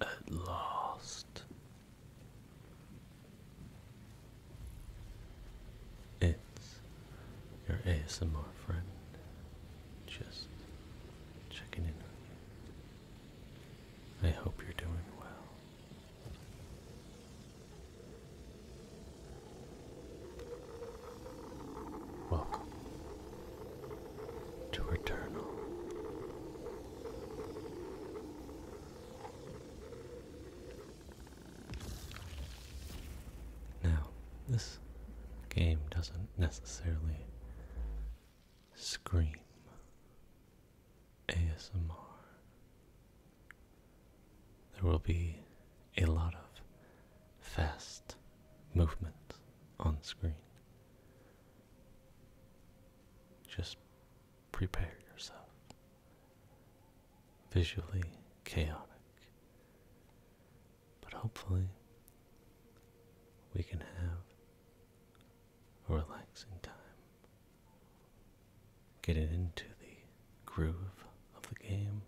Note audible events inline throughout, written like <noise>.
At last, it's your ASMR friend just checking in on you. I hope you're doing well. Welcome to Eternal. Now, this game doesn't necessarily scream ASMR. There will be a lot of fast movement on screen. Just prepare yourself. Visually chaotic. But hopefully, we can have a relaxing time. Getting into the groove of the game,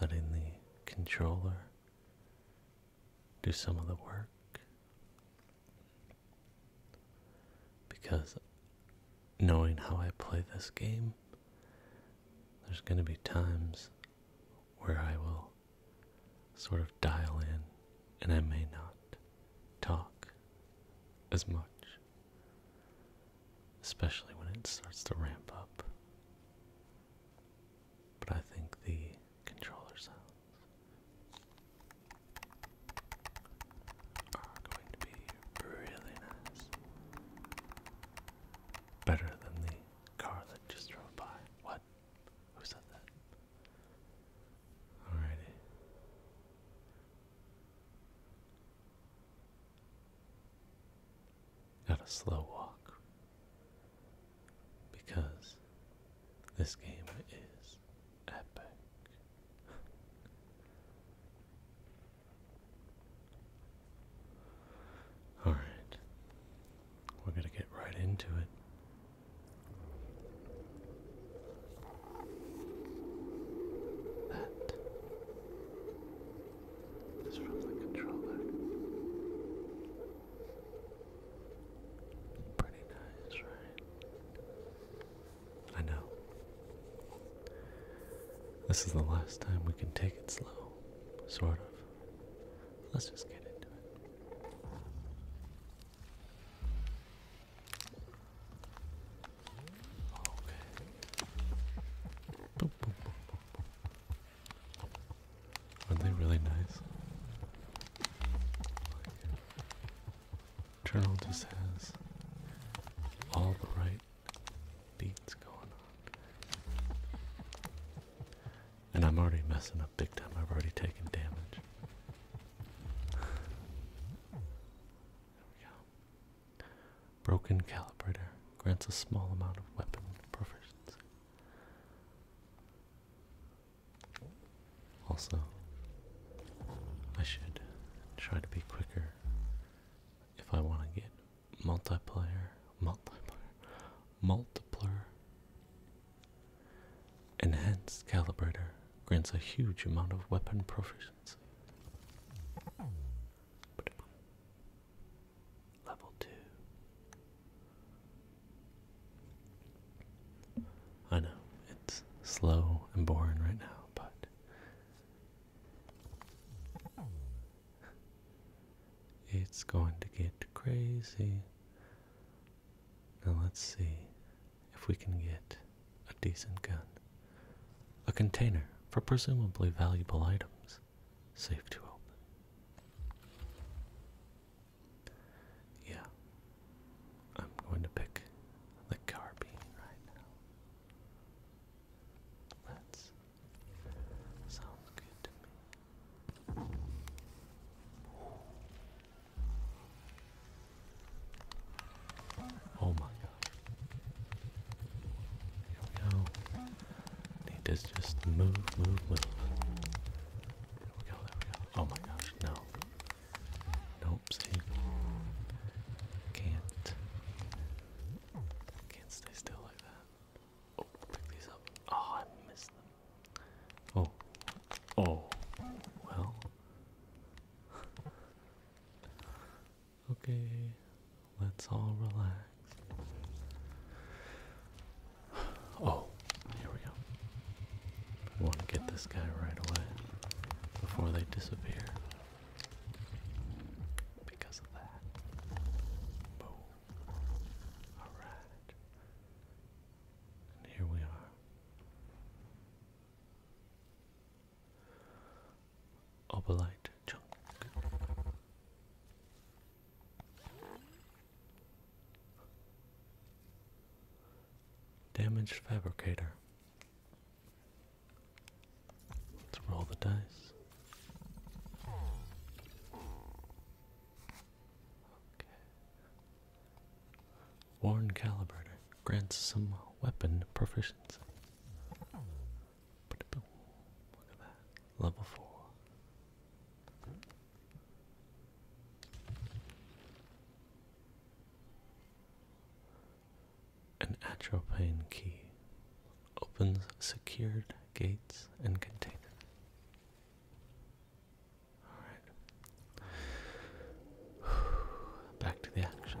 letting the controller do some of the work because knowing how I play this game, there's going to be times where I will sort of dial in and I may not talk as much, especially when it starts to ramp up. But I think the controller sounds are going to be really nice. Better than the car that just drove by. What? Who said that? Alrighty. Got a slow walk because this game is epic. <laughs> Alright, we're gonna get right into it. That is from the controller. Pretty nice, right? I know. This is the last time we can take it slow, sort of. Let's just get into it. Okay are they really nice? Journal just has all the right beats going on. And I'm already messing up big time. I've already taken damage. there we go. Broken calibrator grants a small amount of weapon proficiency. Also, I should try to be quicker if I want to get multiplayer, multiplayer, multiplier, enhanced calibrator grants a huge amount of weapon proficiency level 2. I know, it's slow and boring right now, but it's going to get crazy. Now let's see if we can get a decent gun. A container for presumably valuable items, safe to open. Yeah. I'm going to pick the Carbine right now. That's sounds good to me. Oh my god. Here we go. Need to just move, move, move. There we go, there we go. Oh my gosh, no. Nope, see. Can't. Can't stay still like that. Oh, pick these up. Oh, I missed them. Oh. Oh. Well. <laughs> okay. Let's all relax. Oh, here we go. want to get this guy right away before they disappear. Because of that. Boom. Alright. here we are. Obelite chunk. Damaged fabricator. Let's roll the dice. Worn calibrator grants some weapon proficiency. Level 4. An atropine key opens secured gates and containers. All right. <sighs> Back to the action.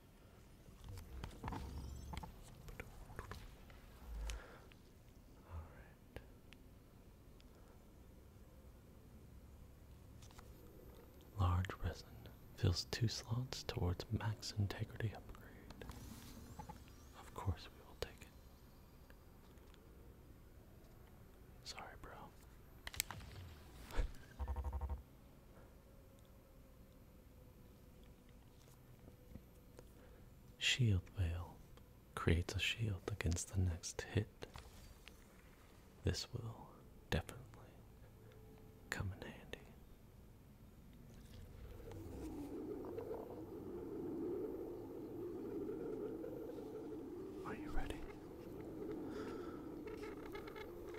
Large resin fills two slots towards max integrity upgrade. Of course we will take it. Sorry, bro. <laughs> Shield Veil creates a shield against the next hit. This will definitely come in handy. Are you ready?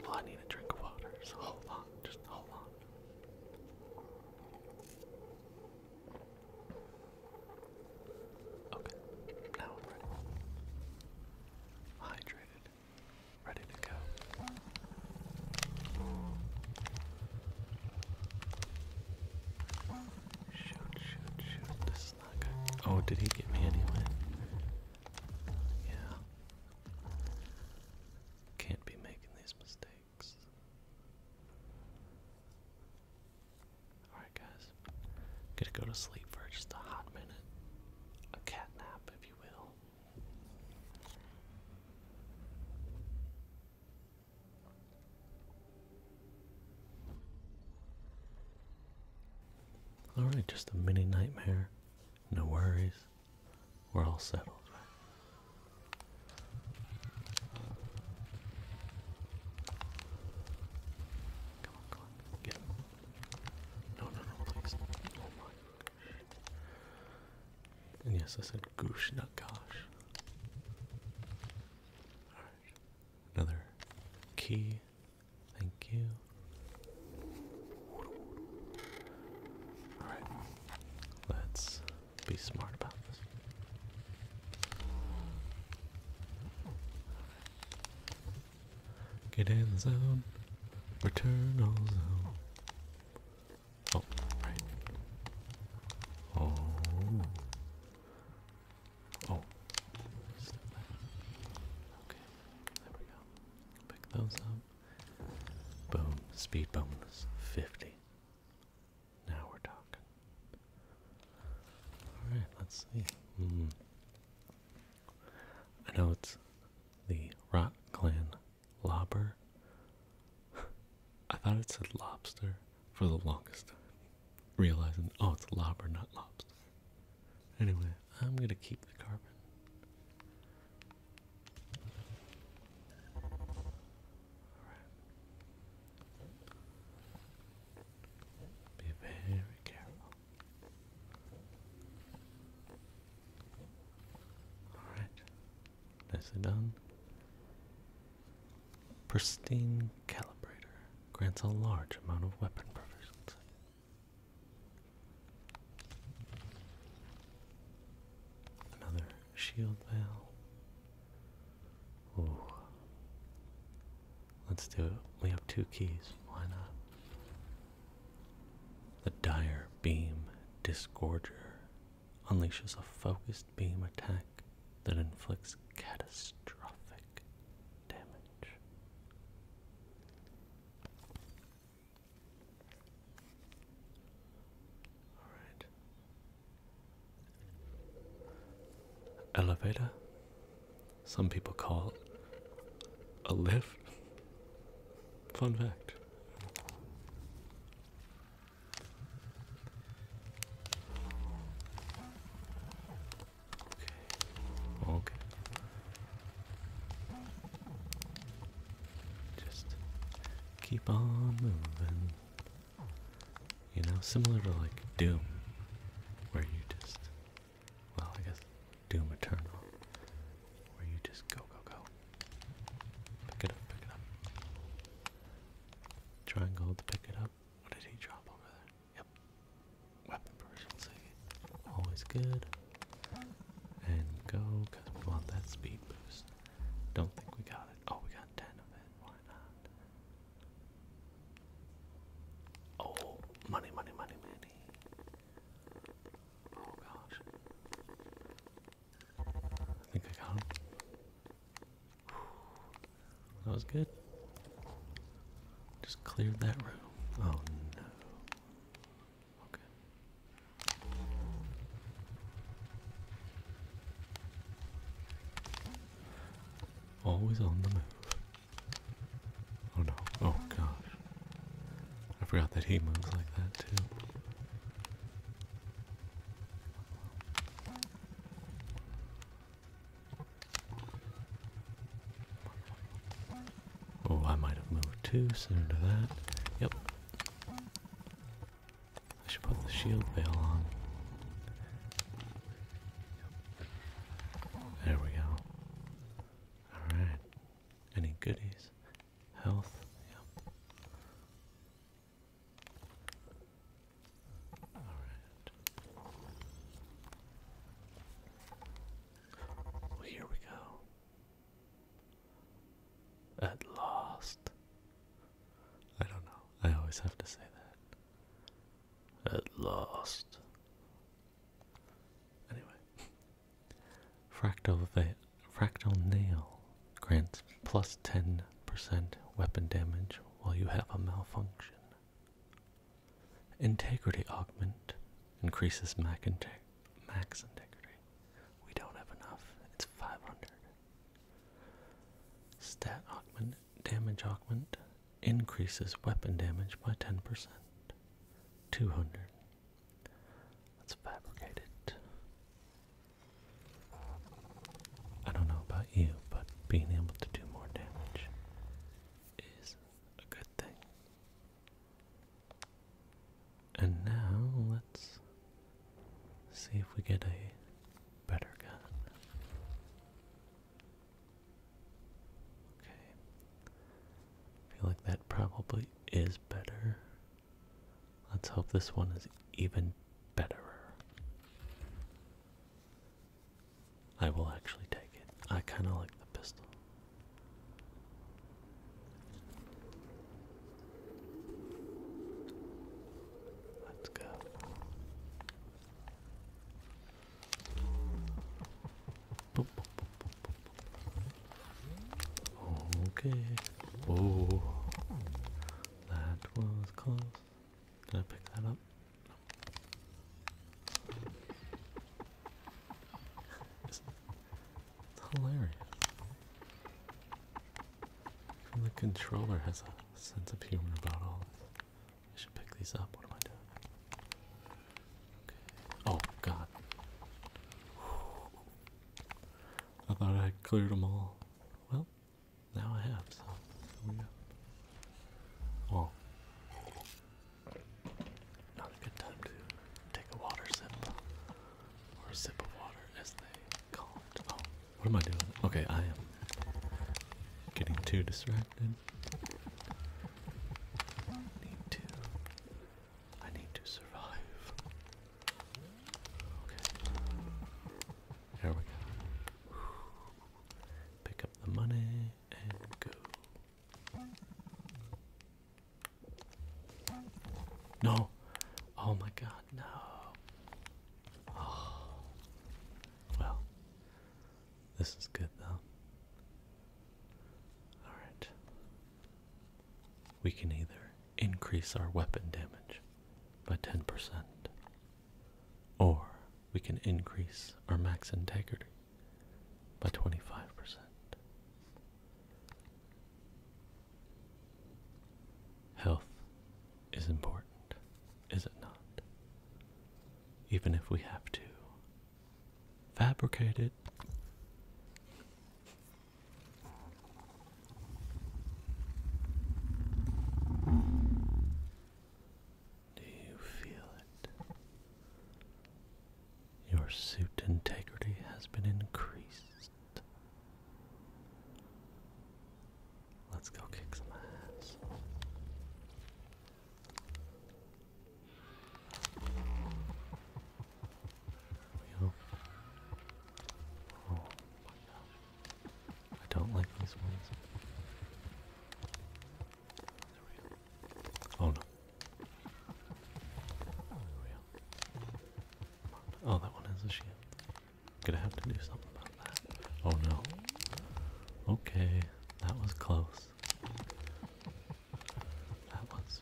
Well, I need a drink of water, so hold on, just hold on. Okay, now I'm ready. Hydrated, ready to go. Shoot, shoot, shoot. This Oh, did he get me anyway? Yeah. Can't be making these mistakes. Alright, guys. gonna go to sleep for just a hot minute. A cat nap, if you will. Alright, just a mini nightmare. No worries. We're all settled, Come on, come on. Get him. No, no, no, please. Oh my gosh. And yes, I said goosh, not gosh. Alright. Another key. Thank you. Alright. Let's be smart about this. Get in the zone. Return all zone. Oh, right. Oh. oh. Okay. There we go. Pick those up. Boom. Speed bonus. 50. Now we're talking. Alright, let's see. Hmm. I know it's the Rock Clan lobster. I thought it said lobster for the longest time. Realizing, oh, it's lobster, not lobster. Anyway, I'm gonna keep the carbon. Be very careful. Alright. Nicely done. Pristine calibrator grants a large amount of weapon proficiency. Another shield valve. Let's do it. We have two keys. Why not? The Dire Beam Disgorger unleashes a focused beam attack that inflicts catastrophic damage. Alright elevator. Some people call it a lift. Fun fact. Okay. Okay. Just keep on moving. You know, similar to like Doom, where you just, well, I guess Doom Eternal, where you just go, go, go. Pick it up, pick it up. Triangle to pick it up. What did he drop over there? Yep. Weapon version save. Always good. And go, because we want that speed boost. Don't think we got it. Oh, we got 10 of it. Why not? Oh, money, money, money, money. Oh, gosh. think I got him. That was good. Just cleared that room. Oh, no. Okay. Always on the move. Oh no. Oh gosh. I forgot that he moves like that too. Oh, I might have moved too soon to that. Yep. I should put the shield veil on. There we go. Alright. Any goodies? Health? Alright. here we go. At last. I don't know. I always have to say that. At last. Anyway. Fractal, fractal Nail grants plus 10% weapon damage while you have a malfunction. Integrity Augment increases max integrity. We don't have enough. It's 500. Stat augment damage augment increases weapon damage by 10%. 200. Let's fabricate it. I don't know about you, but being able to do more damage is a good thing. And now let's See if we get a better gun. Okay. I feel like that probably is better. Let's hope this one is even better. I will actually take it. I kind of like the pistol. Let's go. Okay. Oh, that was close. Did I pick that up? <laughs> It's hilarious the controller has a sense of humor about all this. I should pick these up. What am I doing? Okay. Oh, God. I thought I cleared them all. Well, now I have, some. here we go. Well, not a good time to take a water sip, or a sip of water as they call it. Oh. What am I doing? Okay, I am getting too distracted. I need to. I need to survive. Okay. There we go. Pick up the money and go. No! Oh my god, no! Oh. <sighs> Well, this is good though. Alright. We can either increase our weapon damage by 10%, or we can increase our max integrity by 25%. Health is important, is it not? Even if we have to fabricate it. Do you feel it? Your suit integrity has been increased. Let's go kick some ass. we go. Oh I don't like these ones. There we go. Oh no. There we go. Oh, that one has a shield. Gonna have to do something about that. Oh no. Okay, that was close. That was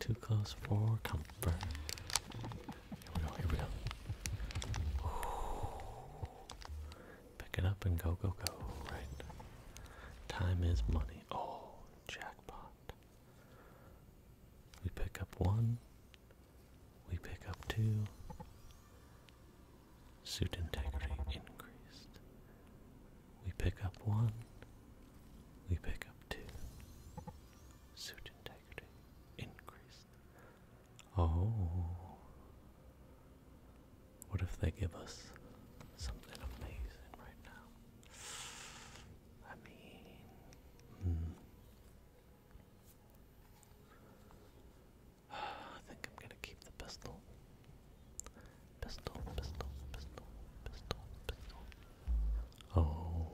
too close for comfort. Here we go, here we go. Pick it up and go, go, go. Right. Time is money. Oh, jackpot. We pick up one, we pick up two. Suit integrity increased. We pick up one. We pick up two. Suit integrity increased. Oh. What if they give us something amazing right now? I mean, hmm. I think I'm gonna keep the pistol. Pistol, pistol, pistol, pistol, pistol. Oh.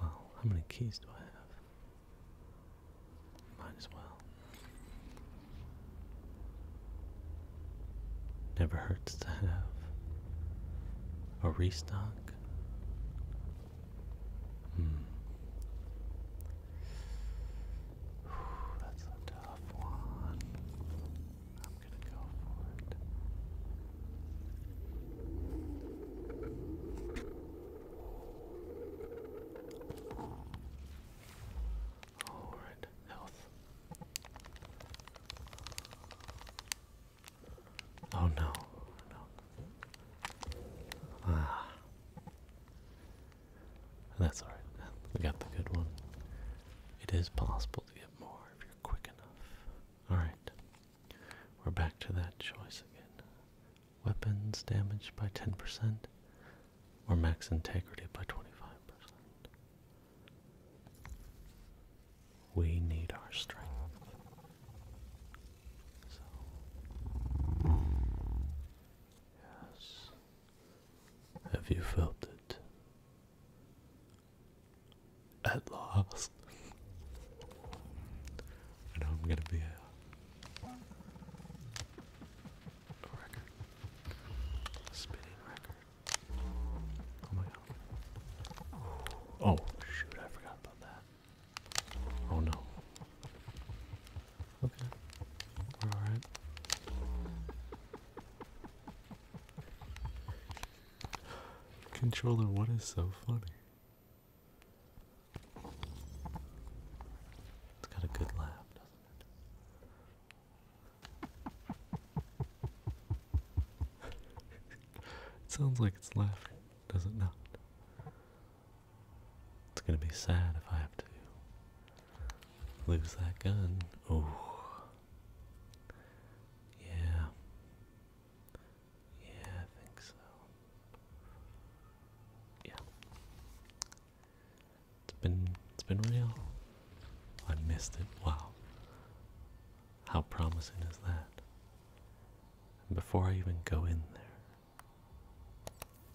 Well, how many keys do I have? Might as well. Never hurts to have a restock Hmm. that's a tough one. I'm gonna go for it. All right, health. Oh no, no. Ah. That's alright. We got the good one. It is possible to get more if you're quick enough. Alright. We're back to that choice again. Weapons damaged by 10% or max integrity by 25%. We need our strength yes, have you felt it? At last, I know I'm gonna be a, record, spinning record. Oh my god! Oh shoot! I forgot about that. Oh no. Okay. We're alright. Controller, what is so funny? It's got a good laugh, doesn't it? <laughs> it sounds like it's laughing, does it not? It's gonna be sad if I have to lose that gun. Oh, yeah, yeah, I think so. Yeah, it's been it's been real. I missed it. Wow, how promising is that? before I even go in there,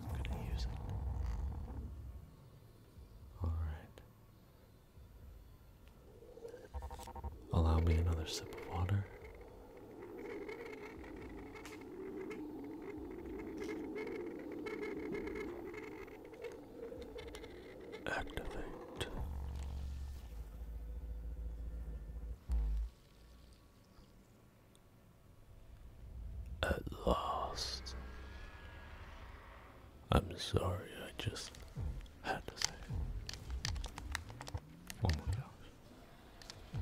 I'm going to use it. Alright. Allow me another sip of water. Activate. At last. I'm sorry, I just had to say it. Oh my gosh.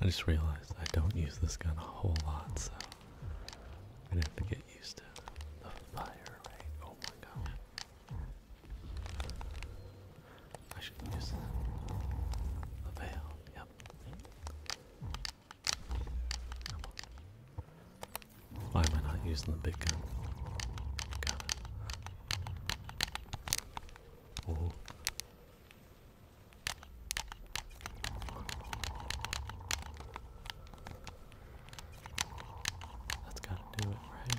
I just realized I don't use this gun a whole lot, so I'm gonna have to get used to the fire rate. Oh my gosh. I should use the veil. Yep. Why am I not using the big gun? That's gotta do it, right?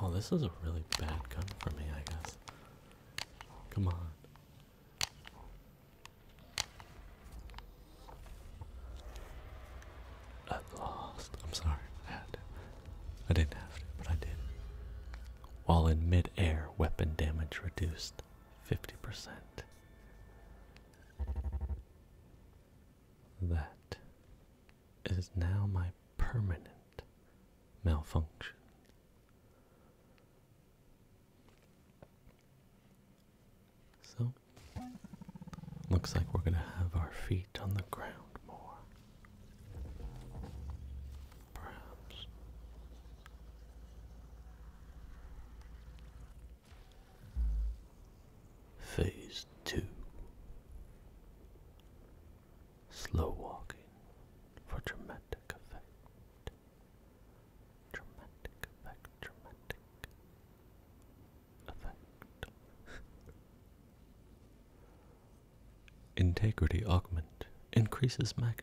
Oh, this is a really bad gun for me, I guess. Come on. I lost. I'm sorry. I didn't have to, but I did. While in mid air, weapon damage reduced 50%. That is now my permanent malfunction. So, looks like we're going to have our feet on the ground more. Perhaps. Phase 2 Slow walking for dramatic effect. <laughs> Integrity augment increases magnet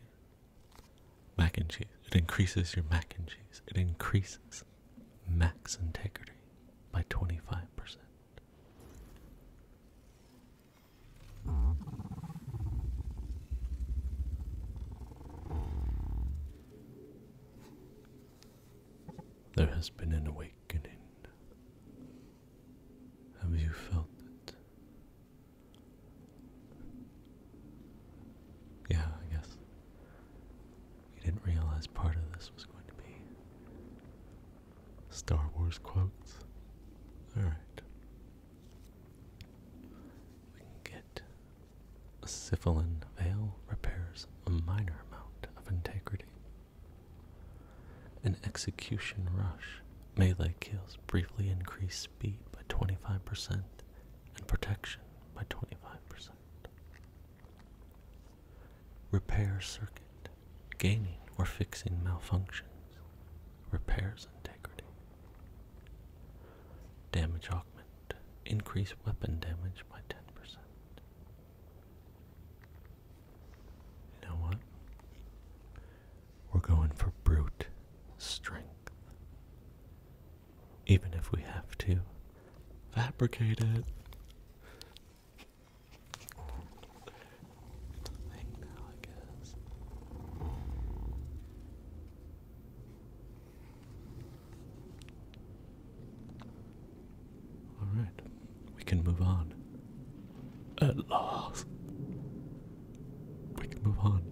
mac and cheese. It increases your mac and cheese. It increases max integrity by 25%. There has been an awakening. Have you felt it? Yeah, I guess. We didn't realize part of this was going to be Star Wars quotes. Alright. We can get Syphilin Veil repairs a minor amount of integrity. An execution rush. Melee kills briefly increase speed by 25% and protection by 25%. Repair circuit, gaining or fixing malfunctions, repairs integrity. Damage augment, increase weapon damage by 10%. You know what? We're going for brute strength even if we have to fabricate it. I guess. Alright, we can move on. At last, we can move on.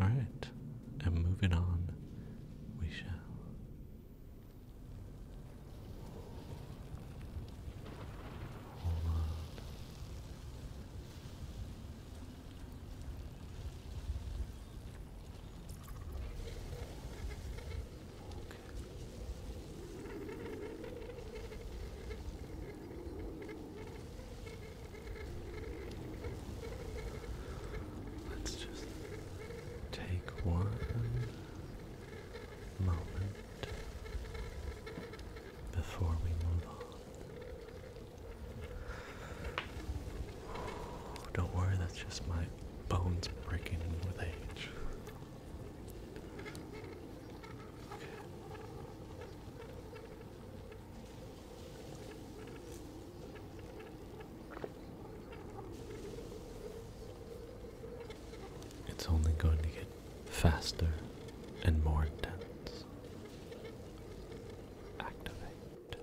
Alright, and moving on, we shall. Let's just take one moment before we move on. Don't worry, that's just my bones breaking with age. Okay. It's only going to get faster and more intense. Activate.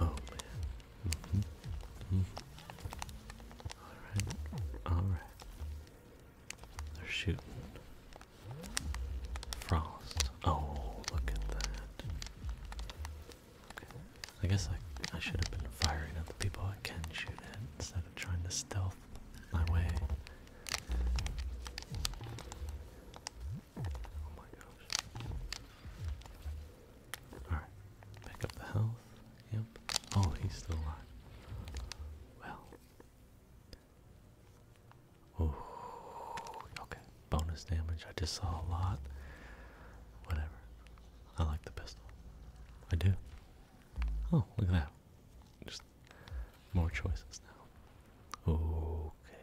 Oh man. Mm-hmm. Mm-hmm. right. All right. They're shooting. Frost. Oh, look at that. I guess I, I should have been firing at the people I can shoot at instead of trying to stealth my way. Oh my gosh. Alright. Pick up the health. Yep. Oh, he's still alive. Well okay, bonus damage. I just saw a lot. Whatever. I like the pistol. I do. Oh, look at that. Just more choices now. Okay.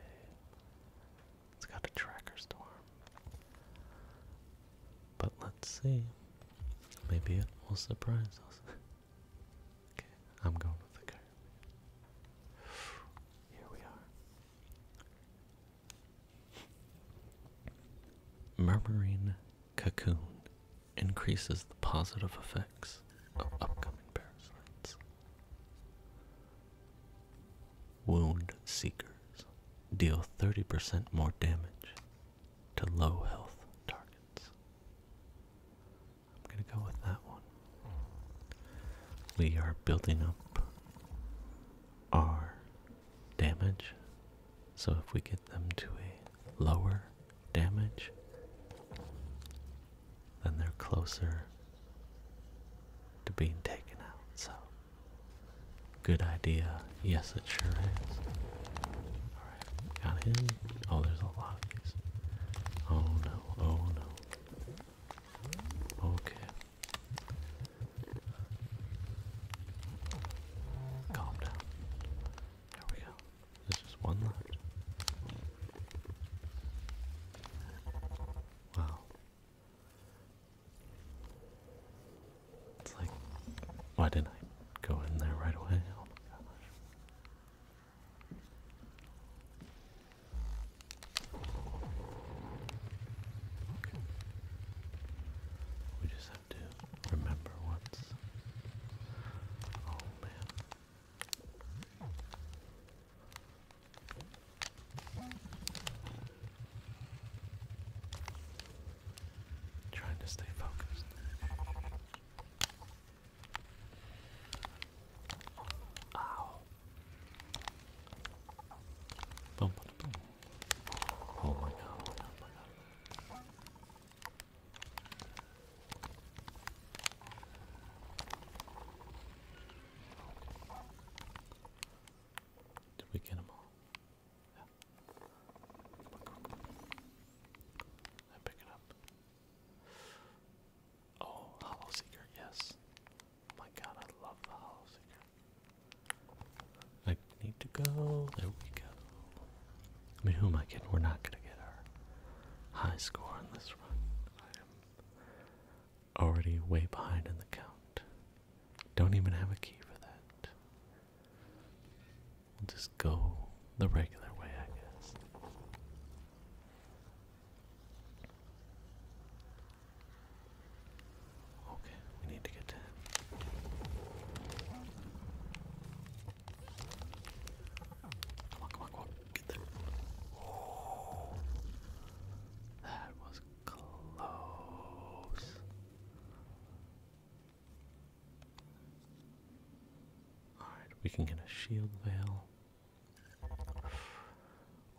It's got a tracker storm. But let's see. Maybe it will surprise us. <laughs> I'm going with the curve. Here we are. Murmuring Cocoon increases the positive effects of upcoming parasites. Wound Seekers deal 30% more damage to low health targets. I'm gonna go with that one. We are building up our damage, so if we get them to a lower damage, then they're closer to being taken out. So, good idea. Yes, it sure is. Alright, got him. Oh, there's a lot of these. Oh no, oh no. Okay. Calm down. There we go. There's just one left. Wow. It's like, why didn't I go in there right away? Oh my gosh. Okay. We just have to remember what's. Oh man. Trying to stay focused. Oh, oh, oh my god, Did we get them all? Yeah. Come pick it up. Oh, Hollow Seeker, yes. My god, I love the Hollow Seeker. I need to go. There we go. I mean, who am I kidding? We're not going to get our high score on this one. I am already way behind in the count. Don't even have a key for that. We'll just go the regular way, I guess. Okay, we need to get to Come on, come on, come on. Get there. that was close. Alright, we can get a shield veil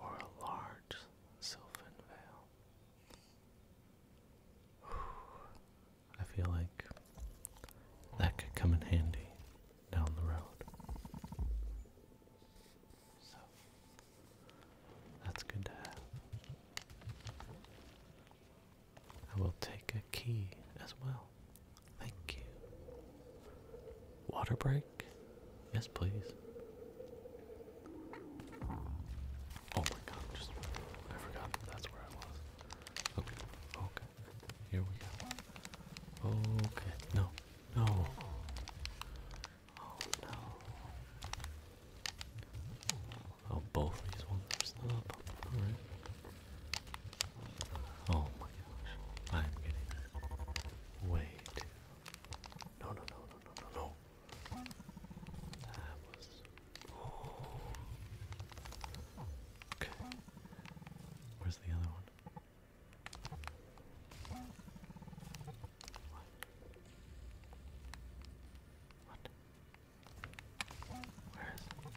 or a large sylvan veil. I feel like that could come in handy down the road. So that's good to have. I will take a key as well. Thank you. Water break? Yes, please. Oh my god, just I forgot that's where I was. Okay, okay. Here we go. Okay, no, no. Oh no. Oh, both these ones are still up. Alright. Oh my gosh. I'm getting way too. No, no, no, no, no, no, no. That was. Okay. Where's the other one? What? Where is it?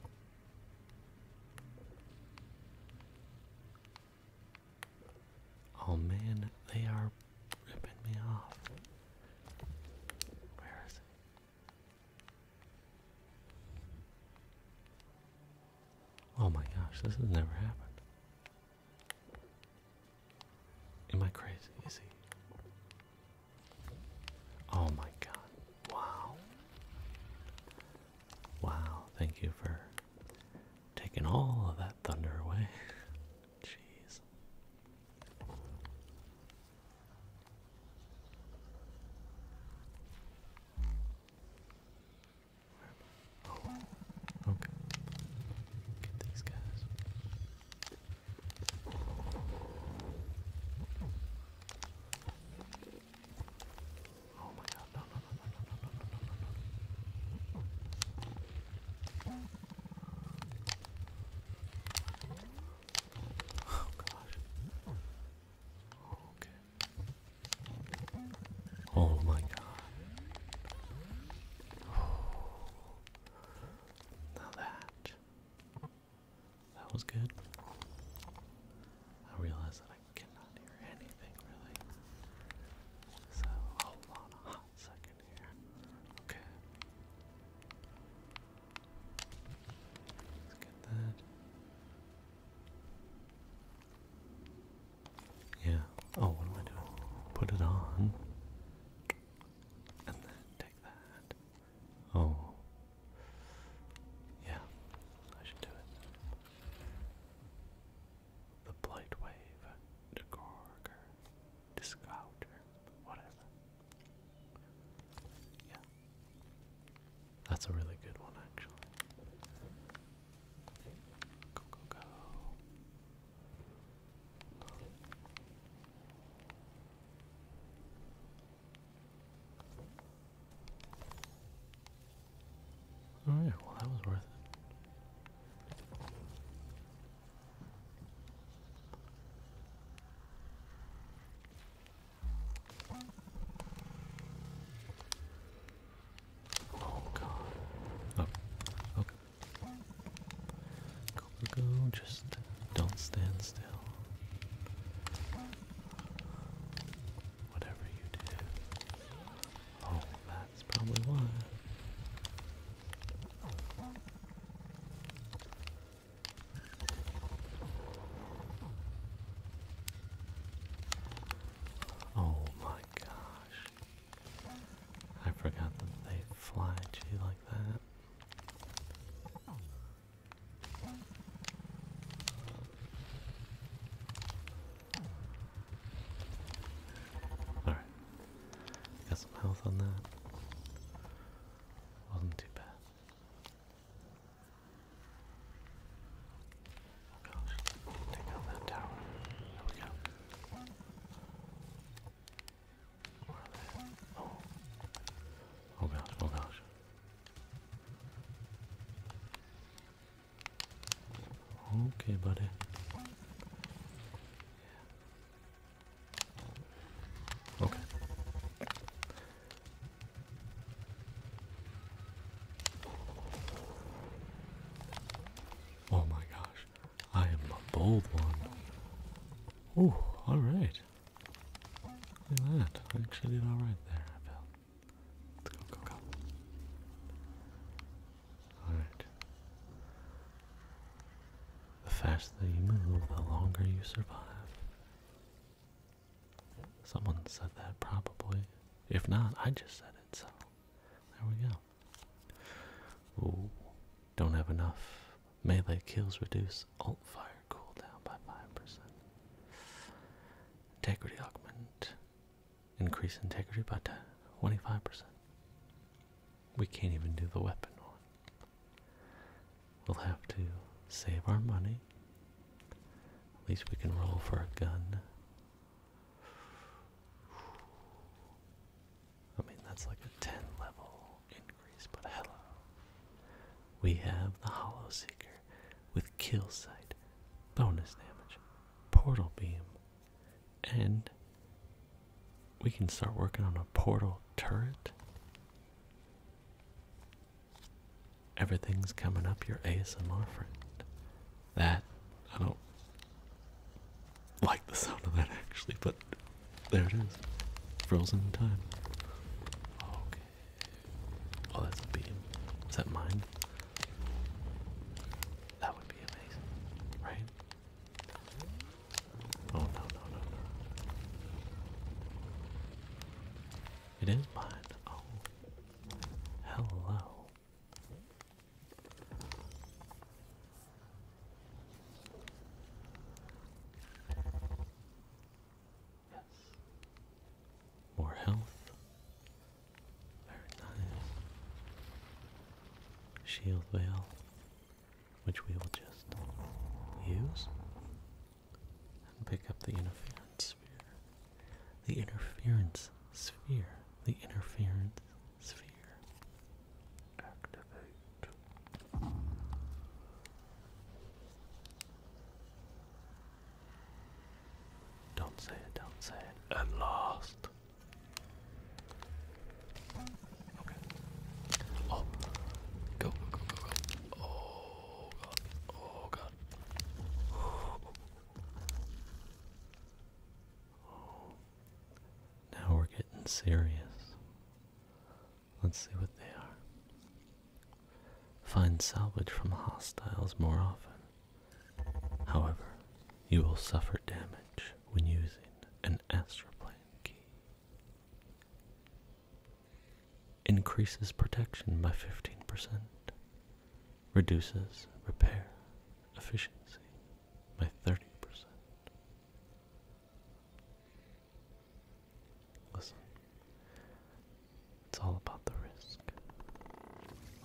Oh man, they are ripping me off. Where is it? Oh my gosh, this has never happened. Am I crazy? Is he? Oh my god. Wow. Wow, thank you for taking all of that thunder away. <laughs> Jeez. Oh, okay. Get these guys. Oh my god, Oh gosh. Oh my god. Now that. That was good. I realized that I cannot hear anything really. So hold on a hot second here. Okay. Let's get that. Yeah. Oh, what am I doing? Put it on. And then take that. Oh. Yeah. I should do it. The Blight Wave, the Gorger, the Scouter, whatever. Yeah. That's a really good one, actually. Go, go, go. Oh, Alright, well that was worth it. Oh god. Oh, okay. go, go, just don't stand still. Whatever you do, Oh, that's probably why. Oh my gosh. I forgot that they fly at like that. Alright. Got some health on that. Wasn't too bad. Oh gosh. Take out that tower. There we go. Where are they? Oh. Oh gosh, oh gosh. Okay, buddy. Okay. Oh my gosh, I am a bold one. Oh, all right. Look at that. I actually did all right there, the faster you move, the longer you survive. Someone said that probably. If not, I just said it, so there we go. Ooh, don't have enough. Melee kills reduce alt fire cooldown by 5%. Integrity augment. Increase integrity by 25%. We can't even do the weapon one. We'll have to save our money. At least we can roll for a gun. I mean, that's like a 10 level increase, but hello. We have the Hollow Seeker with kill sight, bonus damage, portal beam. And we can start working on a portal turret. Everything's coming up your ASMR friend. That, I don't like the sound of that actually, but there it is. Frozen time. Okay. Oh, that's a beam. Is that mine? That would be amazing, right? Oh no, no, no, no. It is mine. Oh. Hello. Yes. More health. Very Shield veil, which we will just use and pick up the interference sphere. The interference sphere. The interference sphere. Activate. Don't say it, don't say it. At last. Okay. Oh. Go, go, go, go, Oh, God. Oh, God. Oh. <sighs> Now we're getting serious. Let's see what they are. Find salvage from hostiles more often. However, you will suffer damage when using an astroplane key. Increases protection by 15%. Reduces repair efficiency by 30%. Listen, it's all about the risk.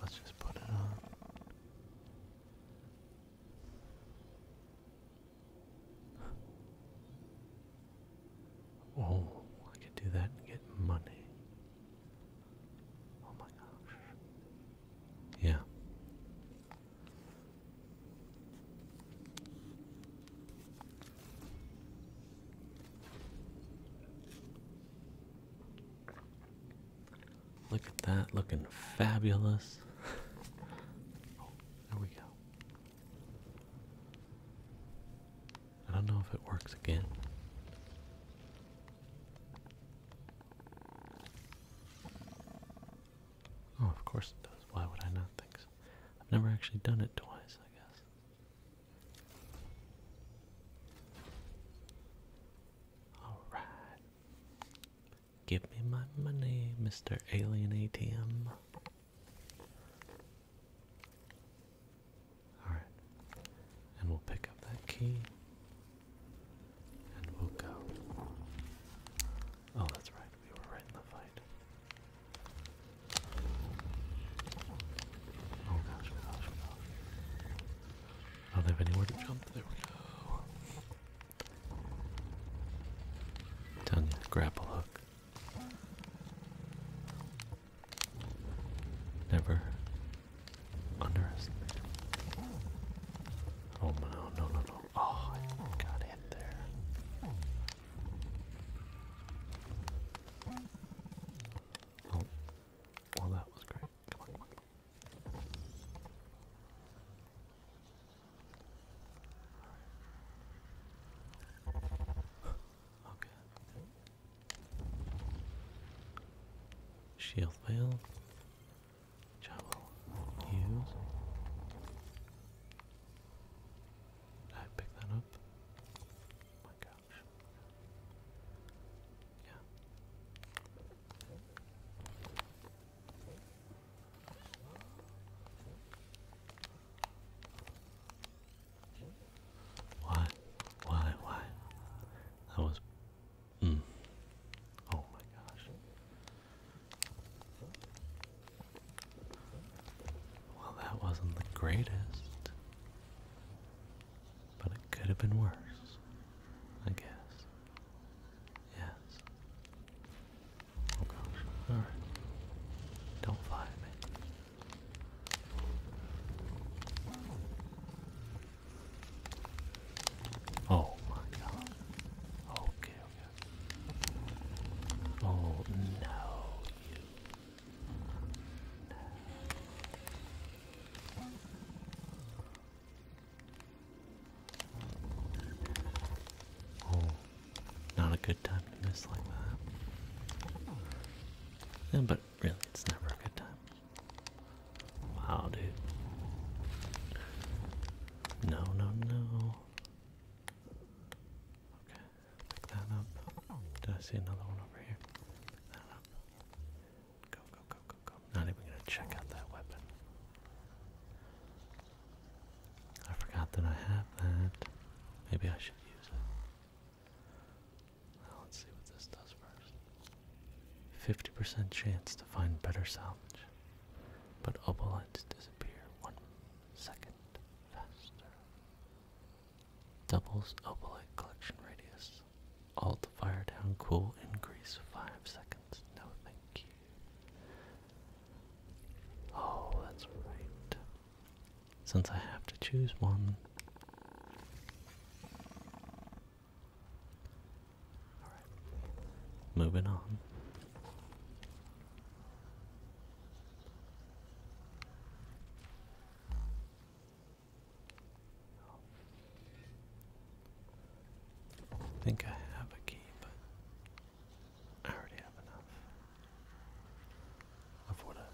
Let's just put it on. Oh, I could do that and get money. Oh my gosh. Yeah. Look at that, looking fabulous. Oh, there we go. I don't know if it works again. Oh, of course it does. Why would I not think so? I've never actually done it twice, I guess. Alright. Give me my money, Mr. Alien ATM. Alright. And we'll pick up that key. And we'll go. Oh, that's right. We were right in the fight. Oh gosh, gosh, gosh. I don't have anywhere to jump. There we go. Down near grapple hook. Never underestimate. Oh no, no, no, no. Oh, I got hit there. Oh, well, that was great okay. Shield veil. I will use. I pick that up? Oh my gosh. Why? Why? Why? That was. Mm. Oh my gosh. Well, that wasn't the greatest. But it could have been worse, I guess. Yes. Oh gosh. Alright. Don't fly me. Oh my god. Okay, okay. Oh no, you. Oh, not a good time to miss like that. Yeah, but really, it's never a good time. Wow, dude. No, no, no. Okay, pick that up. Did I see another one over here? Pick that up. Go, go, Not even gonna check out that weapon. I forgot that I have that. Maybe I should use it. Now let's see what this does first. 50% chance to find better salvage, but obelites disappear one second faster. Doubles obelite collection radius. Alt fire down cool increase five seconds. No thank you. Oh, that's right. Since I have to choose one. Moving on. I think I have a key, but I already have enough of what I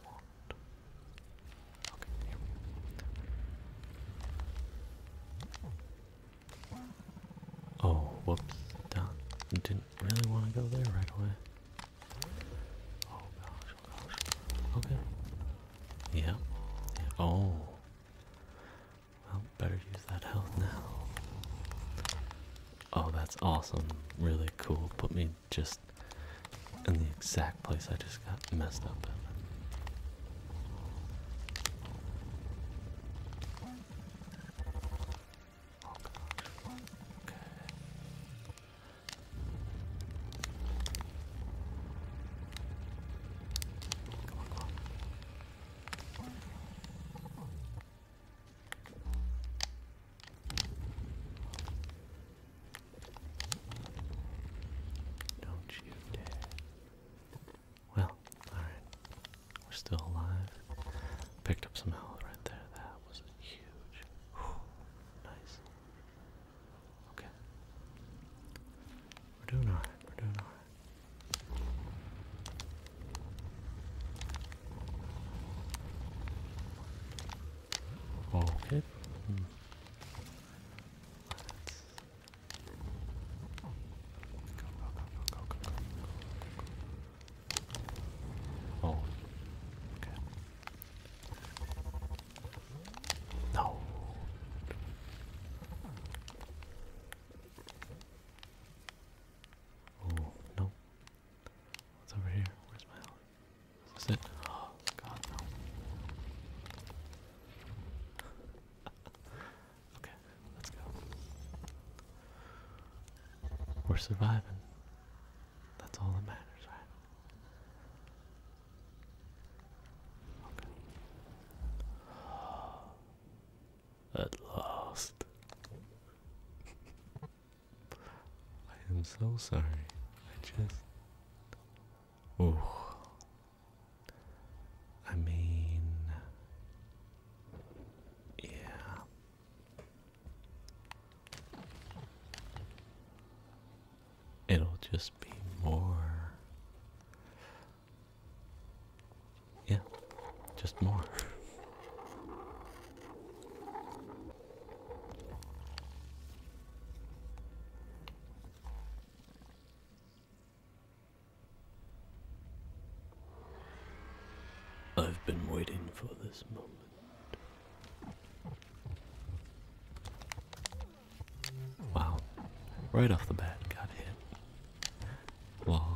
want. Oh, whoops. Down. Didn't really want to go there right away. Oh gosh, oh, Okay. Yeah. Oh. Well, better use that health now. Oh, that's awesome. Really cool. Put me just in the exact place I just got messed up in. Don't you dare. Well, alright. We're still alive. Picked up some health right there. That was huge. Nice. Okay. We're doing alright. We're doing alright. Okay. Oh. No. Oh, no. What's over here? Where's my helmet? Is it? Oh, God, <laughs> okay, let's go. We're surviving. That's all that matters, right? Okay. At last. I am so sorry. I just. Oh. I mean. Yeah. It'll just be more yeah, just more. I've been waiting for this moment. Wow, right off the bat, got hit. Alright.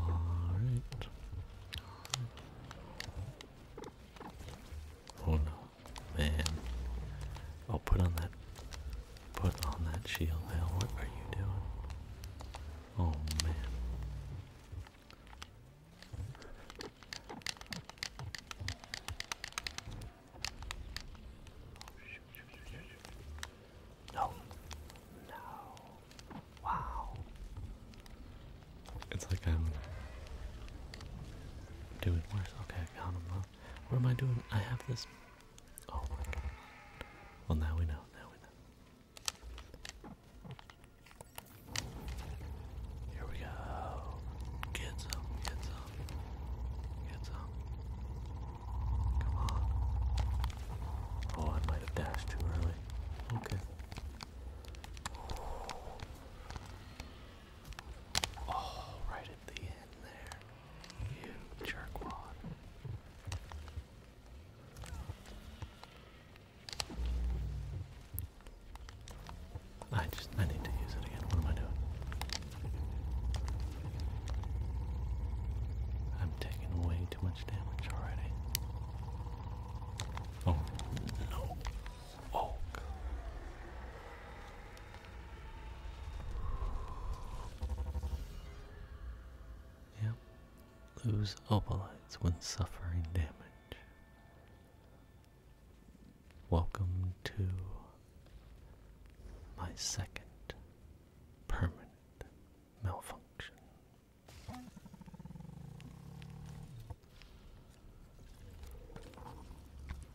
Oh no, man. Oh, put on that. Put on that shield, What are you doing? Oh man. No. No. Wow. It's like I'm doing worse. Okay, I found him. Up. What am I doing? I have this. Oh my god. Well, now we know. Now we know. Here we go. Get some. Get some. Get some. Oh, I might have dashed too early. Okay. Oh, right at the end there. You jerkwad. I just I need to use it again. What am I doing? I'm taking away too much damage already. Oh no! Oh. God. Yep. Lose opalites when suffering damage. Welcome to my second permanent malfunction.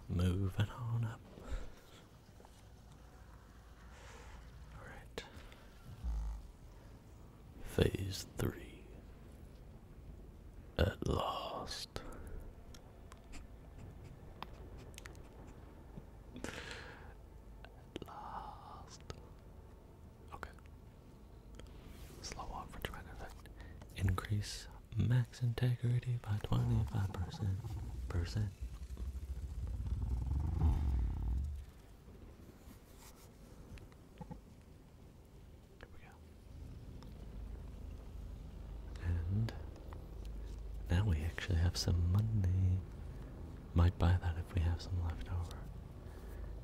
Moving on up. Alright. Phase three. At last. Okay. Slow off for trend effect. Increase max integrity by 25%. Percent. Here we go. And now we actually have some money. Might buy that if we have some left over.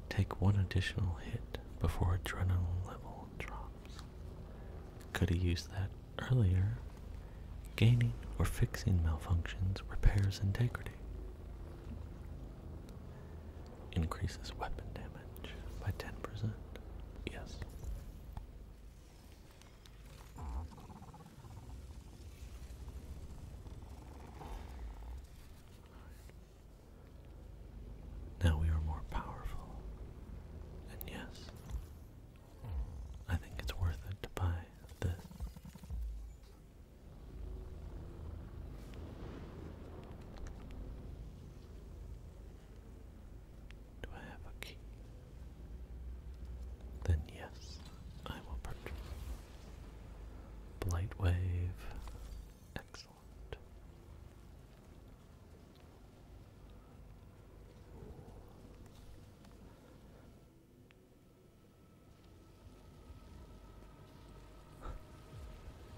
Take one additional hit before adrenaline level drops. Could have used that earlier. Gaining or fixing malfunctions repairs integrity. Increases weapon damage by 10%. Yes. Now we are more powerful. And yes, I think it's worth it to buy this. Do I have a key? Then yes, I will purchase. Blight Wave. Excellent.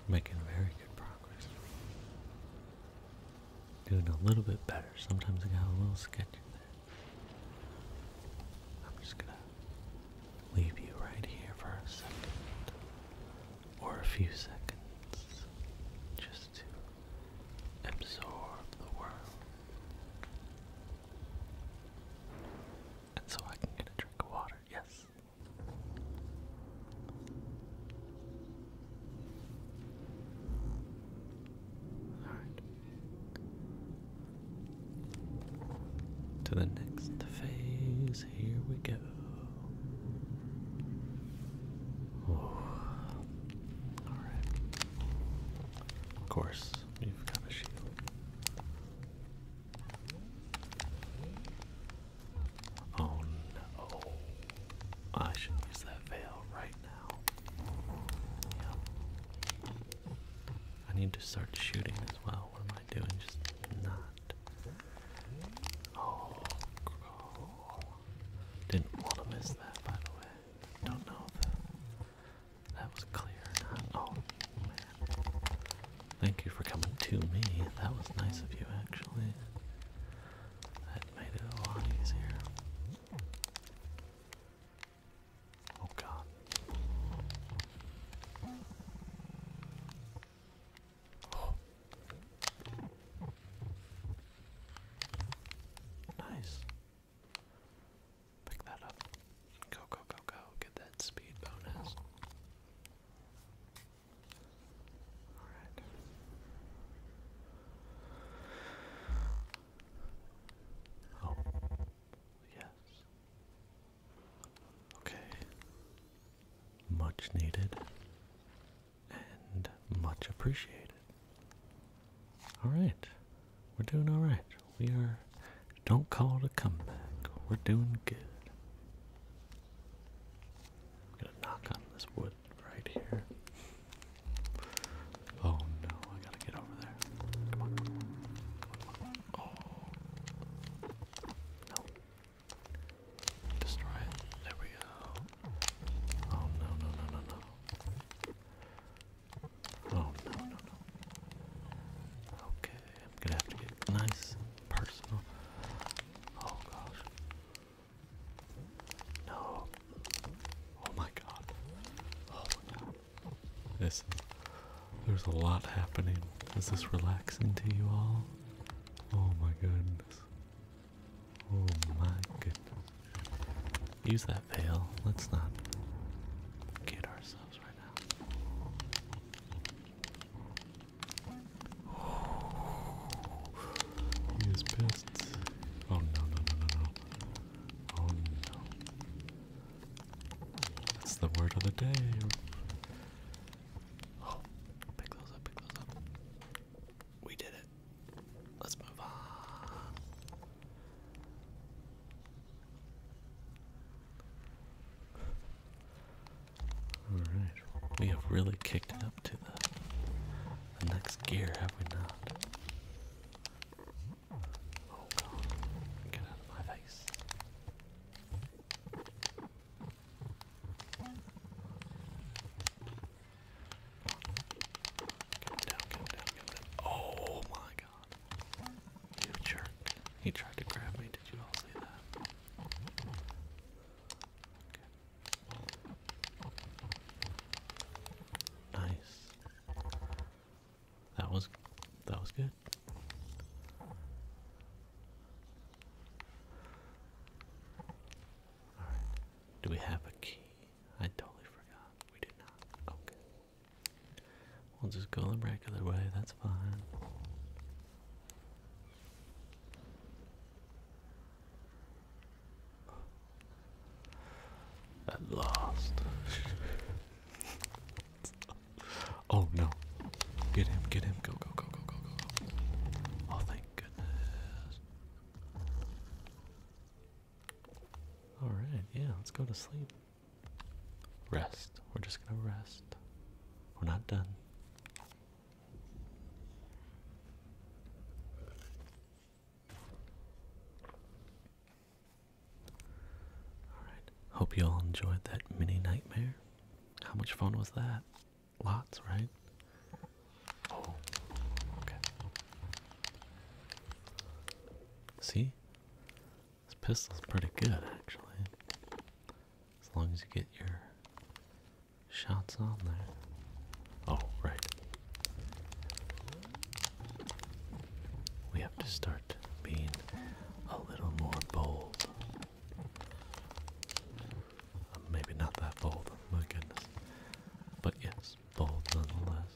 Making very good progress. Doing a little bit better. Sometimes I got a little sketchy there. I'm just gonna leave you right here for a second or a few seconds just to absorb the world. And so I can get a drink of water, yes. Alright. To the next phase, here we go. Alright. Of course, you've got a shield. Oh no. I should use that veil right now. I need to start shooting as well. What am I doing? Just not. Oh, Didn't want to miss that, by the way. Don't know that was clear or not. Oh, man. Thank you for coming to me. That was nice of you, actually. That made it a lot easier. Oh god. Oh. <gasps> Nice. Pick that up. Go, go, go, go. Get that speed bonus. Alright. Oh. Yes. Okay. Much needed and much appreciated. Alright. We're doing alright. We are. Don't call it a comeback. We're doing good. I'm gonna knock on this wood right here. Oh no, I gotta get over there. Oh. No. Destroy it. There we go. Oh no, no, no, no, no. Oh no, no, no. Okay, I'm gonna have to get nice personal. Oh gosh. No. Oh my god. Oh my god. This, there's a lot happening. Is this relaxing to you all? Oh my goodness. Oh my goodness. Use that veil. Let's not get ourselves right now. he is pissed. Oh no, no, no, no. Oh no. That's the word of the day. Oh, pick those up, pick those up. We did it. Let's move on. Alright, we have really kicked it up to the next gear, have we not? Oh god, get out of my face. Come down, come down, Oh my god. You jerk. He tried to grab me, did you all see that? Nice. That was that was good. Alright. Do we have a key? I totally forgot. We did not. Okay. We'll just go the regular way, that's fine. At last. <laughs> oh no. Get him, get him. Go, go, go, go, go, go, go. Oh, thank goodness. Alright, yeah, let's go to sleep. Rest. We're just gonna rest. We're not done. Alright, hope you all enjoyed that mini nightmare. How much fun was that? Lots, right? Oh, okay. See? This pistol's pretty good, actually. As long as you get your shots on there. Oh, right. We have to start start being a little more bold. Uh, maybe not that bold, my goodness. But yes, bold nonetheless.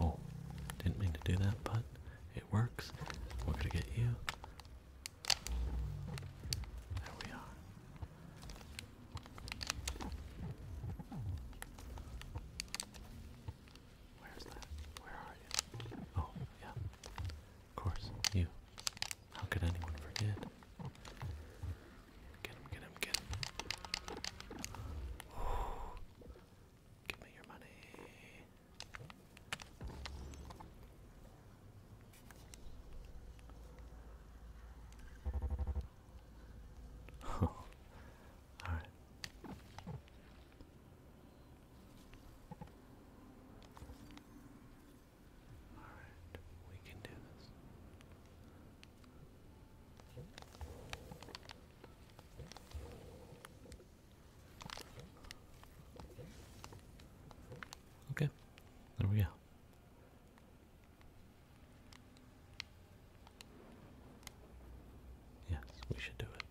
Oh, didn't mean to do that, but it works. We're gonna get you. There we are. Where's that? Where are you? Oh, yeah. Of course, you. How could anyone forget? Get him, get him, get him. Give me your money. <laughs> Alright. Alright, we can do this. Okay, there we go. Yes, we should do it.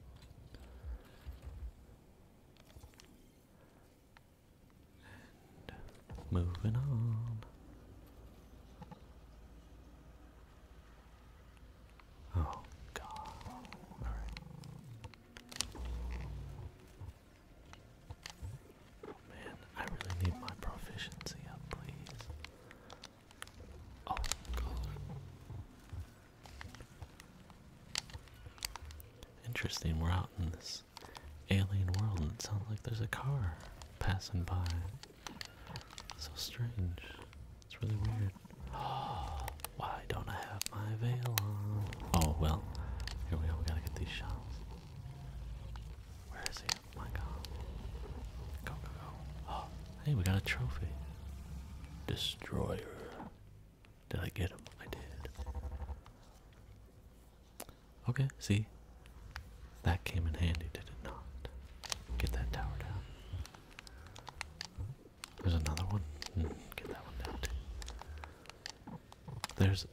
And moving on. Oh, God. All right. Man, I really need my proficiency up, please. Oh, Interesting, we're out in this alien world and it sounds like there's a car passing by. So strange. It's really weird. Oh, <gasps> why don't I have my veil on? Oh, well, here we go. We gotta get these shells. Where is he? Oh, go, go, go. <gasps> Oh, Hey, we got a trophy. Destroyer. Did I get him? I did. Okay, see? That came in handy, did it not? Get that tower down. There's another one. Hmm, get that one down too. There's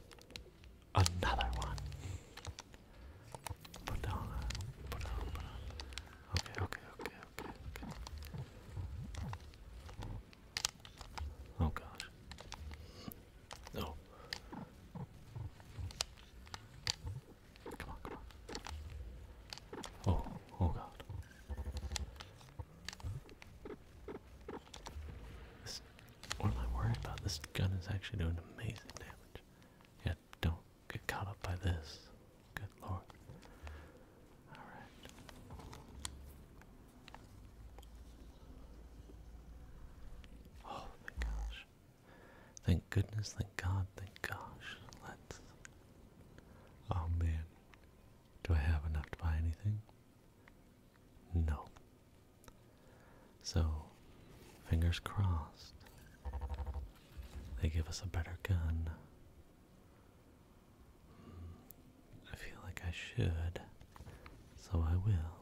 another one. Put down, put down, down. Okay, okay, okay. Oh gosh. No. Come on, come on. Oh, oh god. This, what am I worried about? This gun is actually doing amazing damage. Yeah, don't Get caught up by this. Good lord. Alright. Oh my gosh. Thank goodness, thank God, thank gosh. Let's. Oh man. Do I have enough to buy anything? No. So, fingers crossed, they give us a better gun I feel like I should, so I will.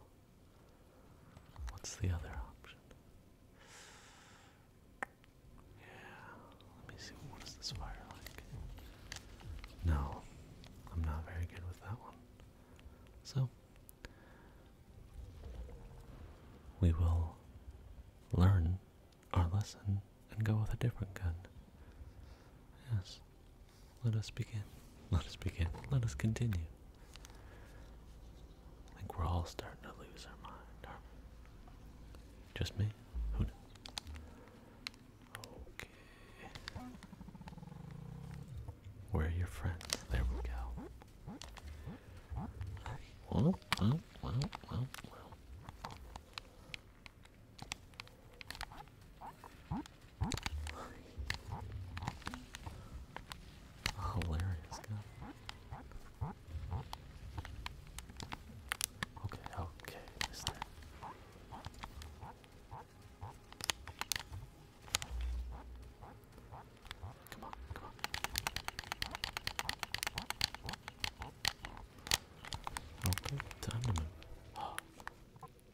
What's the other option? Yeah, let me see. What is this fire like? No, I'm not very good with that one. So, we will learn our lesson and go with a different gun. Yes. Let us begin. Let us begin. Let us continue. I think we're all starting to lose our mind, Just me? Who knows? Okay. Where are your friends? There we go. Hilarious guy. Okay, okay, mister. Come on, come on. Okay, time to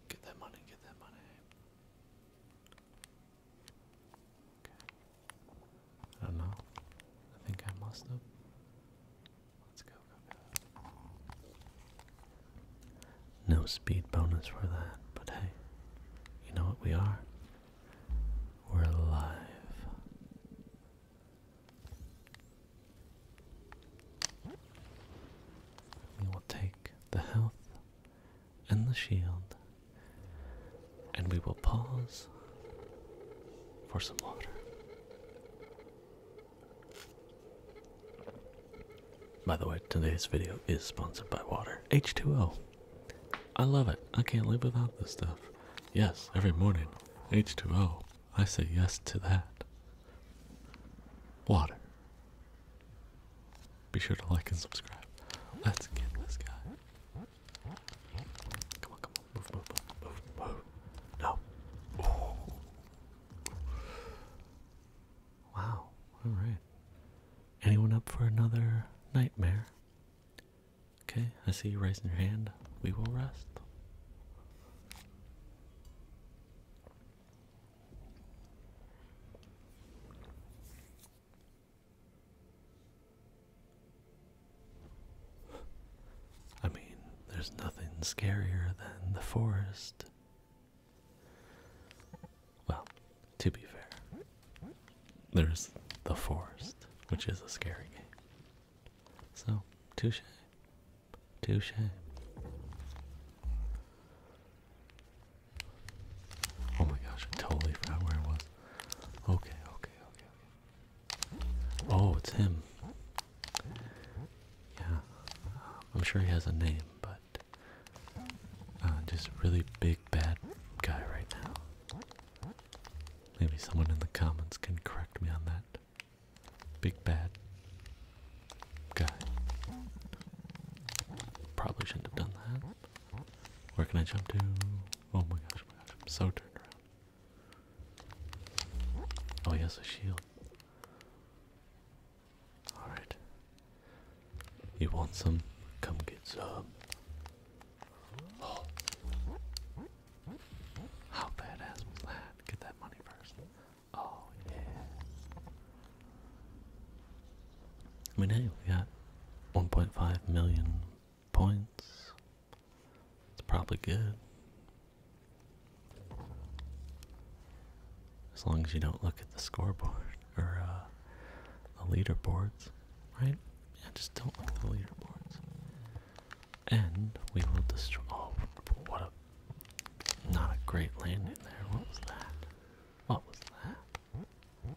get that money, get that money. Okay. I don't know. I think I messed up. Let's go. No speed bonus for that, but hey, you know what we are? We're alive. We will take the health and the shield, and we will pause for some water. By the way, today's video is sponsored by water. H2O. I love it. I can't live without this stuff. Yes, every morning. H2O. I say yes to that. Water. Be sure to like and subscribe. Let's get this guy. Come on, come on. Move, move, move, move, No. Wow. Alright. Anyone up for another nightmare? Okay, I see you raising your hand. We will rest. I mean, there's nothing scarier than the forest. Well, to be fair, there's the forest, which is a scary game. So, touche. Touche. Oh my gosh, I totally forgot where I was. Okay, okay, okay, Oh, it's him. Yeah. I'm sure he has a name, but uh, just really big bad guy right now. Maybe someone in the comments can correct me on that. Big bad guy. Probably shouldn't have done that. Where can I jump to? Oh my gosh, oh I'm so turned around. Oh, yes, a shield. Alright. You want some? Come get some. How badass was that? Get that money first. Oh yeah. I mean hey, we got 1.5 million points. It's probably good. As long as you don't look at the scoreboard or uh, the leaderboards, right? Yeah, just don't look the leaderboards. And we will destroy. Oh, what a. Not a great landing there. What was that? What was that?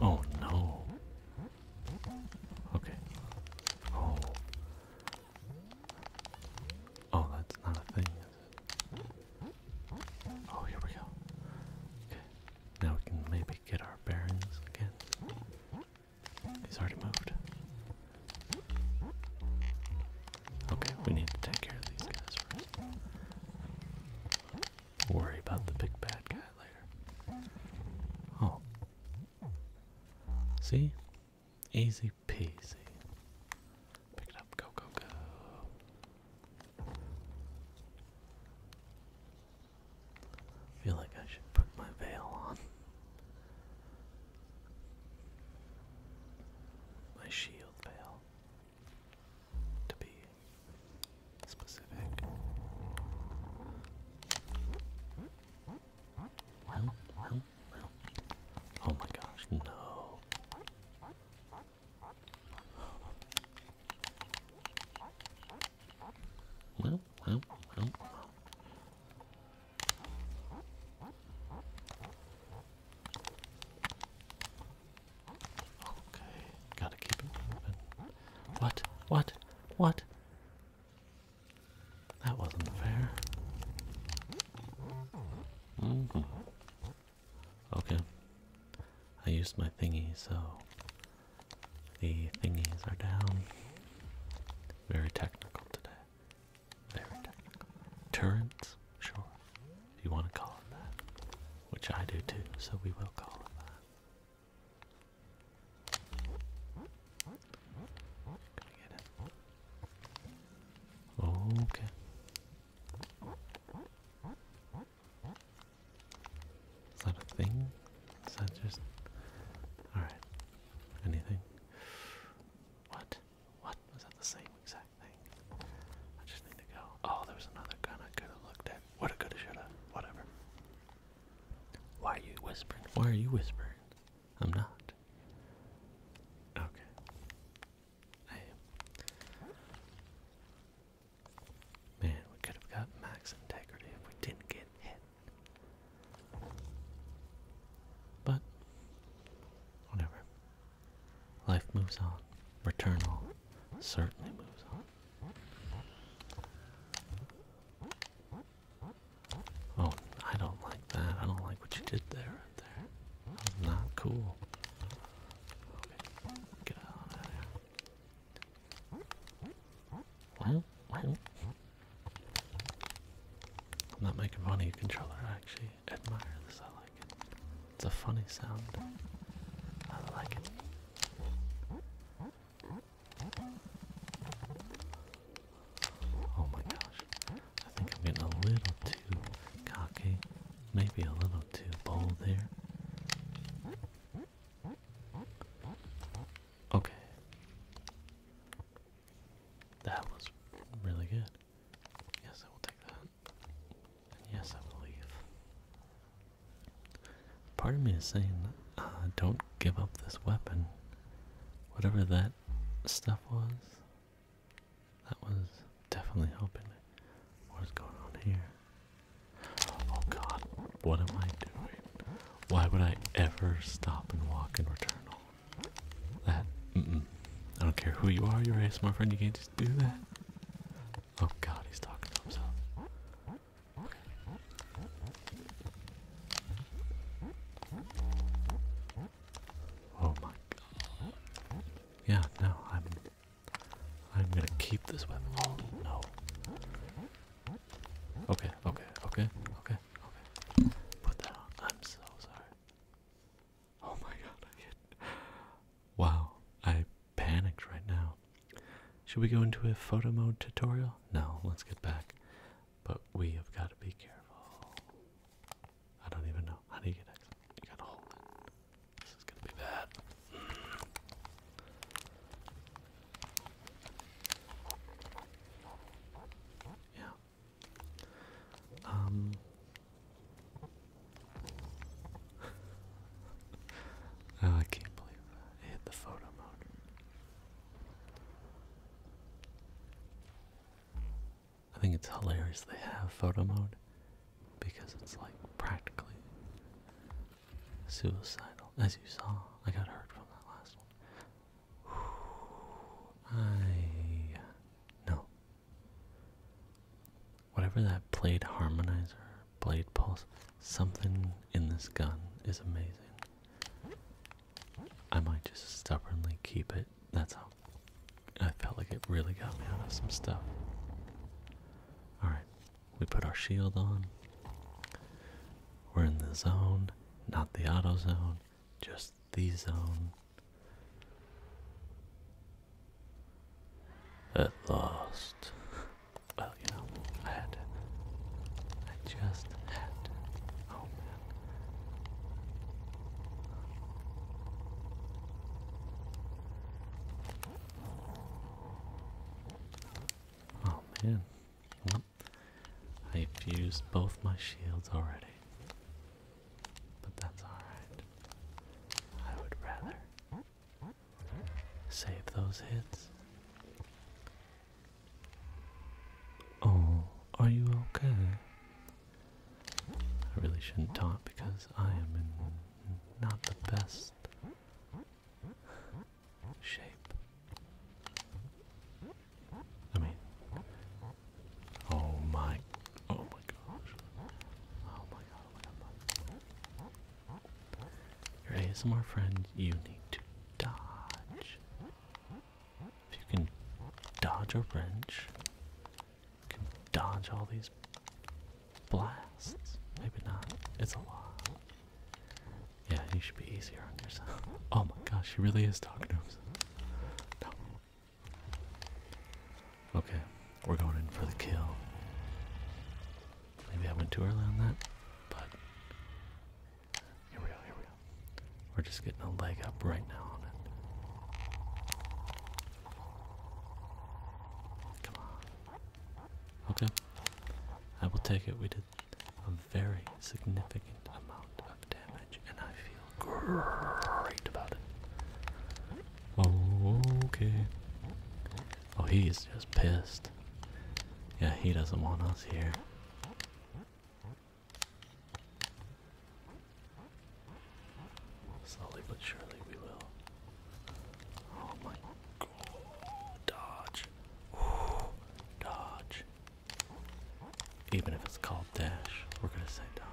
Oh, oh no. Okay. Oh. Oh, that's not a thing, Oh, here we go. Okay. Now we can maybe get our bearings again. He's already moved. Okay, we need to take care of these guys first. Worry about the big bad guy later. Oh. See? Easy peasy. Pick it up. Go, go, go. I feel like I should put my veil on. My shield veil. To be specific. Oh my gosh, no. Okay, gotta keep it moving. What? What? What? That wasn't fair. Mm-hmm. Okay. I used my thingy, so the thingies are down. Very technical today. Very technical. Turrets? Sure. you want to call it that. Which I do too, so we will call it that. Gonna get it. Okay. Is that a thing? Is that just. Alright. Anything? What? What? Was that the same exact thing? I just need to go. Oh, there was another gun I could have looked at. What a good have shoulda. Whatever. Why are you whispering? Why are you whispering? I'm not. Okay. I Man, we could have got max integrity if we didn't get hit. But, whatever. Life moves on. Return all certainly moves on. Oh, I don't like that. I don't like what you did there. Right there. not cool. Okay, get out of there. Well, well. I'm not making fun of your controller, I actually admire this, I like it. It's a funny sound. I like it. Oh my gosh. I think I'm getting a little too cocky. Maybe a little too bold there. Okay. That was really good. Yes, I will take that. yes, I will Part of me is saying, uh, don't give up this weapon. Whatever that stuff was, that was definitely helping. What is going on here? Oh god, what am I doing? Why would I ever stop and walk in Returnal? That, I don't care who you are, you're a smart friend, you can't just do that. Oh god, he's talking to himself. Okay. Oh my god. Yeah, no, I'm I'm gonna keep this weapon. Oh no. Okay, okay, okay, okay, okay. Put that on. I'm so sorry. Oh my god, Wow, I panicked right now. Should we go into a photo mode tutorial? No, let's get back. But we have got to be careful. I don't even know. How do you get exit? You gotta hold it. This is gonna be bad. Yeah. Um. <laughs> I can't believe that. hit the photo mode. I think it's hilarious they have photo mode because it's like practically Suicidal. As you saw, I got hurt from that last one. <sighs> I. No. Whatever that blade harmonizer, blade pulse, something in this gun is amazing. I might just stubbornly keep it. That's how I felt like it really got me out of some stuff. Alright, we put our shield on. We're in the zone, not the auto zone, just the zone. At last. Well, you know, I had to. I just had to. Oh man. Oh man. I've used both my shields already. But that's alright. I would rather save those hits. Oh, are you okay? I really shouldn't talk because I am in not the best shape. I mean, oh my, oh my gosh, oh my god, oh my god. Oh Your ASMR friend, you need to dodge. If you can dodge a wrench, you can dodge all these blasts. Maybe not. It's a lot. Yeah, you should be easier on yourself. Oh my gosh, she really is talking to us. No. Okay, we're going in for the kill. Maybe I went too early on that, but here we go, here we go. We're just getting a leg up right now on it. Come on. Okay. I will take it. We did a very significant amount of damage, and I feel great about it. Oh, okay. Oh, he's just pissed. Yeah, he doesn't want us here. Slowly but surely we will. Oh my god. Dodge. dodge. Even if it's called Dash, we're gonna say Don.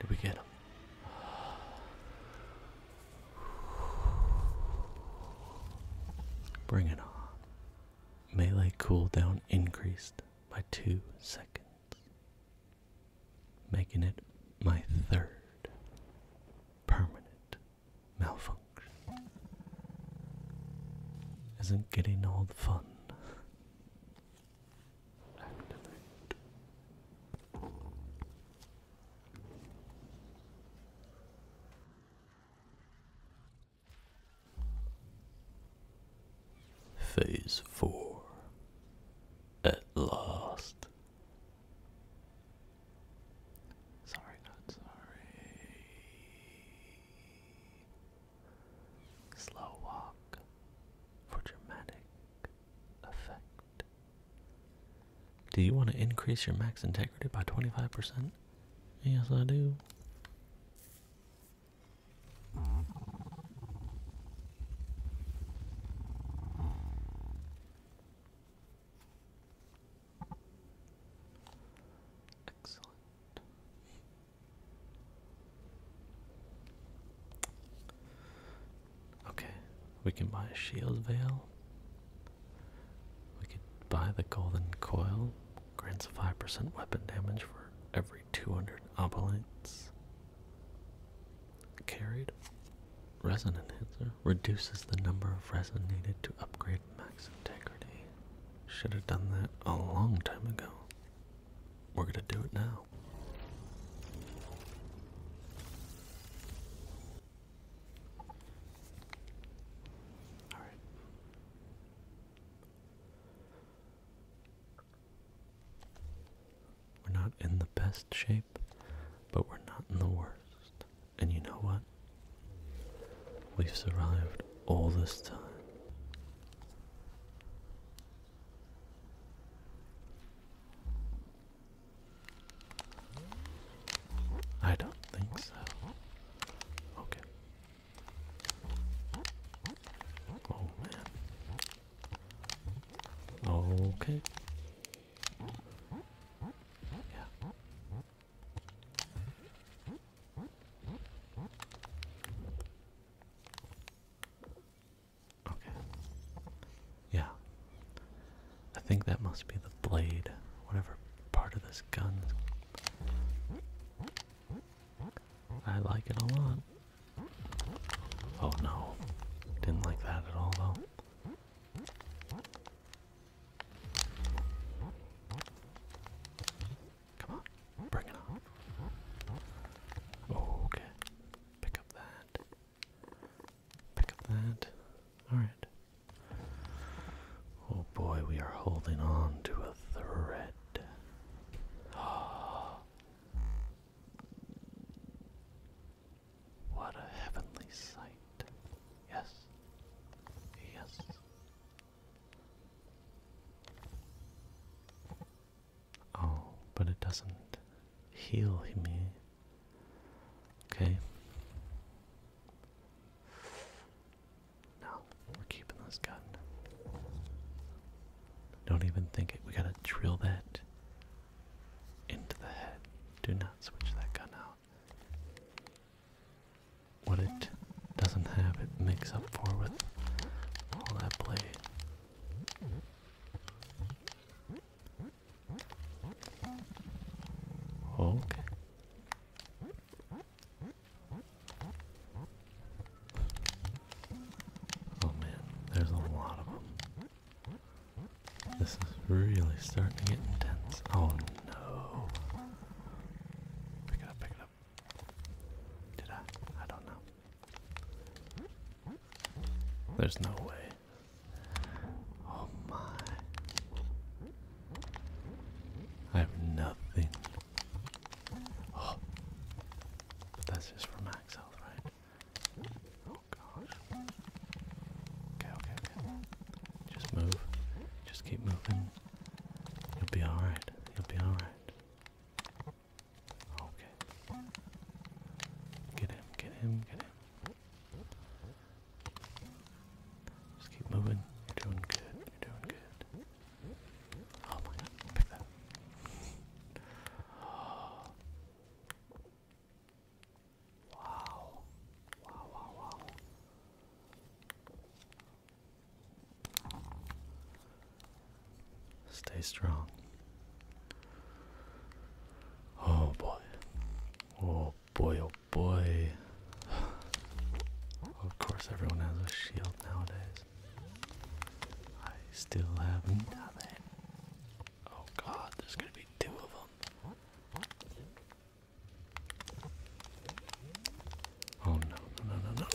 Did we get him? <sighs> Bring it on. Melee cooldown increased by two seconds, making it my third permanent malfunction isn't getting all the fun. Activate. Phase four at last. Sorry, not sorry. Slow walk for dramatic effect. Do you want to increase your max integrity by 25%? Yes, I do. Excellent. Okay, we can buy a shield veil. We can buy the golden coil. Grants 5% weapon damage for every 200 obelites carried. Resin enhancer reduces the number of resin needed to upgrade max integrity. Should have done that a long time ago. We're gonna do it now. All right. We're not in the best shape, but we're not in the worst. And you know what? We've survived all this time. I don't think so. Okay. Oh man. Okay. Yeah. Okay. Yeah. I think that must be the blade, whatever part of this gun. I like it a lot. Oh no. Didn't like that at all though. Come on, bring it on. Okay, pick up that. Pick up that. Alright. Oh boy, we are holding on to a thread. <gasps> what a heavenly sight. Yes. Yes. Oh, but it doesn't heal him Okay. No, we're keeping this gun. Don't even think it. We gotta drill that into the head. Do not switch that gun out what it doesn't have, it makes up for with all that play. Okay. Oh man, there's a lot of them. This is really starting to get intense. Oh no. Pick it up, pick it did I? I don't know. There's no way. Oh my. I have nothing. Oh. that's just for max right? Oh gosh. Okay, okay, okay. Just move. Just keep moving. You'll be alright. You'll be alright. Okay. Get him, get him, get him. Just keep moving. You're doing good. You're doing good. Oh my god, pick that. wow. Wow, wow, wow. Stay strong. Oh boy. Oh boy, oh boy. of course, everyone has a shield nowadays. I still have nothing. Oh god, there's gonna be two of them. Oh no, no, no, no, no.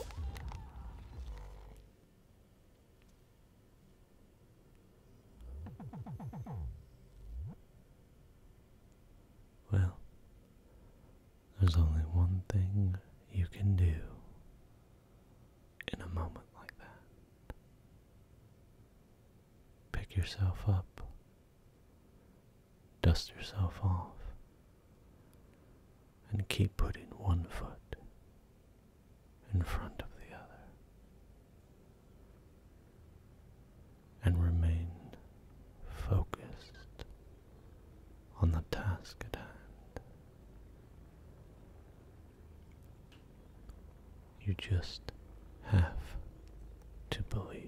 Well, there's only one thing you can do in a moment like that. Pick yourself up, dust yourself off, and keep putting one foot in front of the other. And remain focused on the task at hand. You just have to believe.